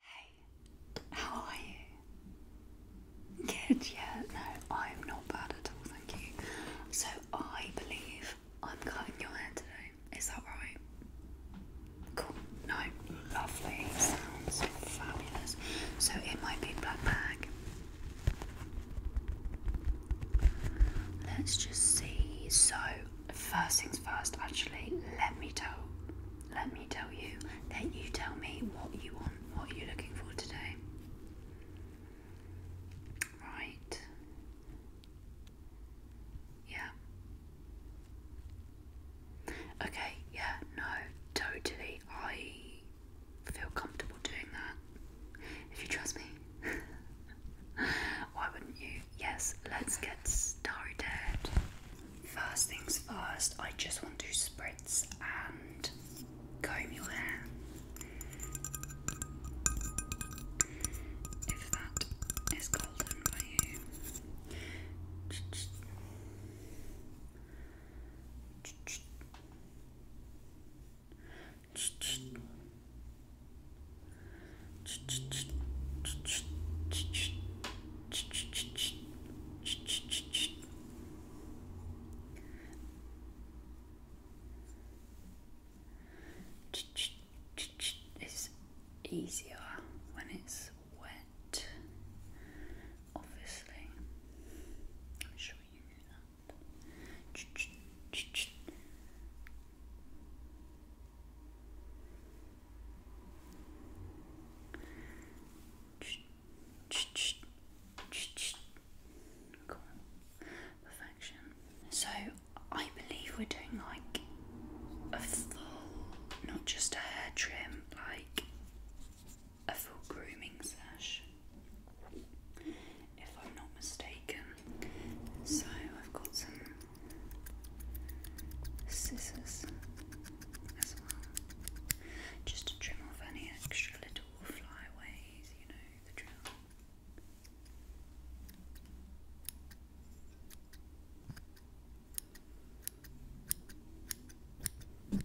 Hey, how are you? Good, yeah, no, I'm not bad at all, thank you. So, I believe I'm cutting your hair today, is that right? Cool, no, lovely, sounds fabulous. So, it might be black bag. Let's just see. So, first things first, actually, let me tell let me tell you, then you tell me what you want, what you're looking for today. Right. Yeah. Okay, yeah, no, totally. I feel comfortable doing that. If you trust me. Why wouldn't you? Yes, let's get started. First things first, I just want to spritz and comb your hair. If that is golden by you. It's easier when it's wet, obviously. I'm sure you knew that. So I believe we're doing like a full, not just a hair trim, like a full grooming sash, if I'm not mistaken. So I've got some scissors as well, just to trim off any extra little flyaways, you know, the drill.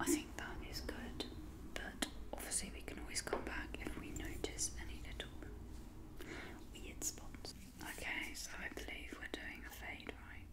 I think that is good, but obviously we can always come back if we notice any little weird spots. Okay, so I believe we're doing a fade, right?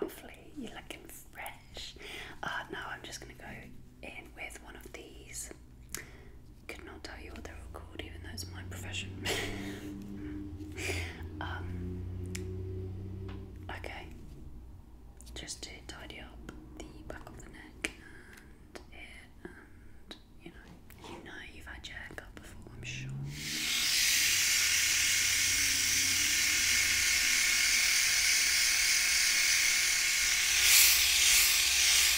Lovely, you're looking fresh. Uh, now I'm just going to go in with one of these could not tell you what they are called, even though it's my profession. Um, okay, just to tidy up the back of the neck and here, and you know, you know you've had your haircut before, I'm sure.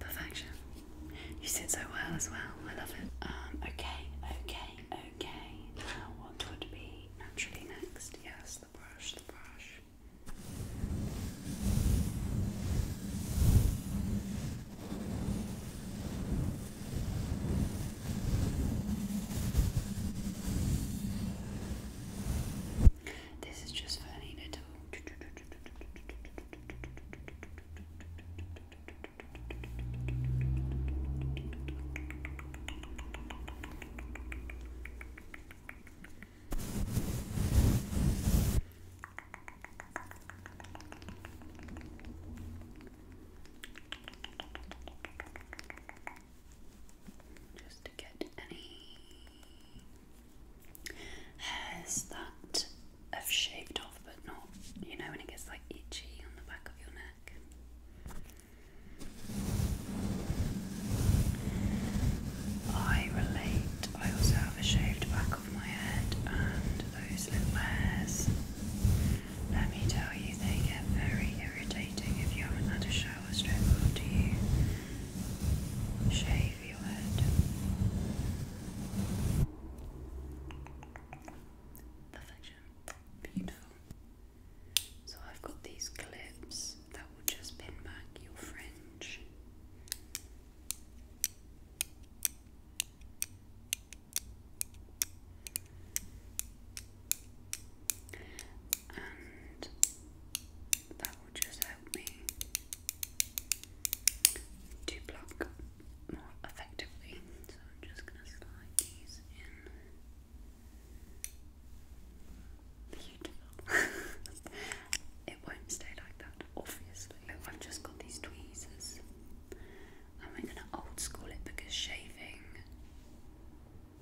Perfection. You sit so well as well. I love it. Um, okay, okay, okay. what would be naturally next? Yes, the brush, the brush. This is just for Anita to just to get any hairs that have shaved off, but not, you know, when it gets like itchy on the back of your neck. I relate. I also have a shaved back of my head and those little hairs let me tell you, they get very irritating if you haven't had a shower straight after you shave your head. Perfection. Beautiful. So I've got these clips that will just pin back your fringe and that will just help me to block more effectively. So I'm just going to slide these in. Beautiful. it won't stay like that, obviously. I've just got these tweezers. And we're going to old school it because shaving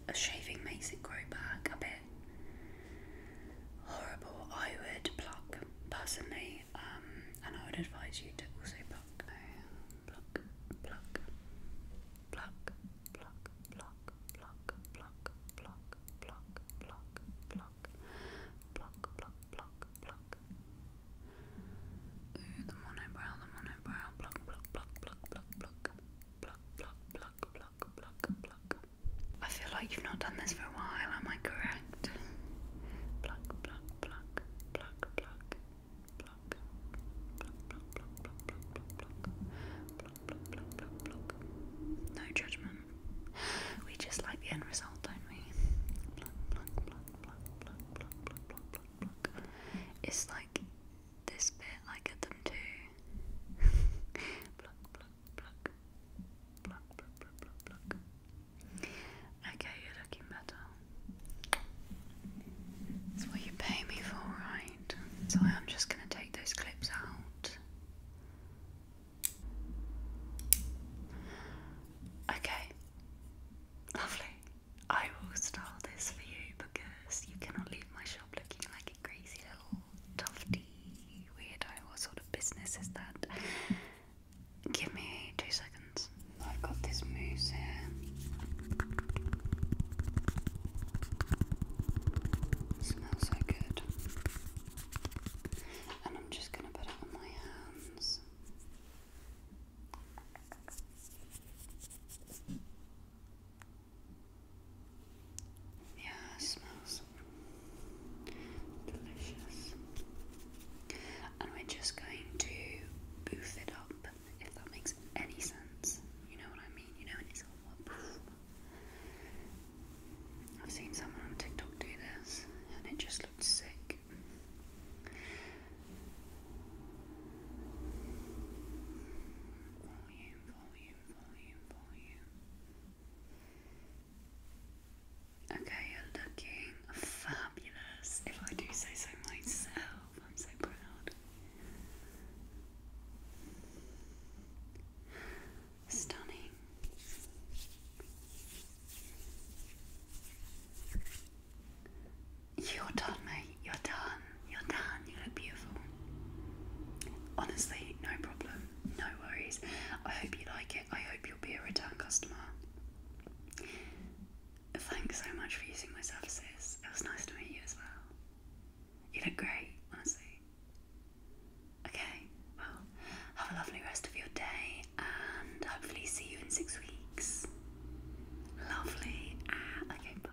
a shaving makes it grow back a bit horrible. I would pluck personally, and I would advise you to also pluck, pluck, pluck, pluck, pluck, pluck, pluck, pluck, pluck, pluck, pluck, pluck, pluck, pluck, pluck, pluck, Ooh, the monobrow, the monobrow, pluck, pluck, pluck, pluck, pluck, pluck, pluck, pluck, pluck, pluck, pluck, pluck. I feel like you've not done this for a while, am I correct? Pluck, pluck, pluck, pluck, pluck, pluck, pluck, pluck, pluck, pluck, pluck, pluck, pluck, No judgment. We just like the end result, don't we? Pluck, pluck, pluck, pluck, pluck, pluck, pluck, pluck. It's like this bit, I get them too. Okay, you're looking better. That's what you pay me for, right? So I'm just going to take those clips out. Okay. Lovely. I will style this for you because you cannot leave my shop looking like a crazy little tufty weirdo. What sort of business is that? Give me two seconds. I've got this mousse here. smells so good. And I'm just going to put it on my hands. Yeah, smells delicious. And we're just going to boof it up, if that makes any sense. You know what I mean? You know when it's all I've seen someone on TikTok do this and it just looked sick. Okay, you're looking fabulous. If I do say so myself, I'm so proud. Stunning. You're done, mate. You're done. You're done. You look beautiful. Honestly, no problem. No worries. I hope you like it. I hope you'll be a return customer. Thanks so much for using my services. It was nice to meet you as well. You look great, honestly. Okay, well, have a lovely rest of your day and hopefully see you in six weeks. Lovely. Ah, okay, bye.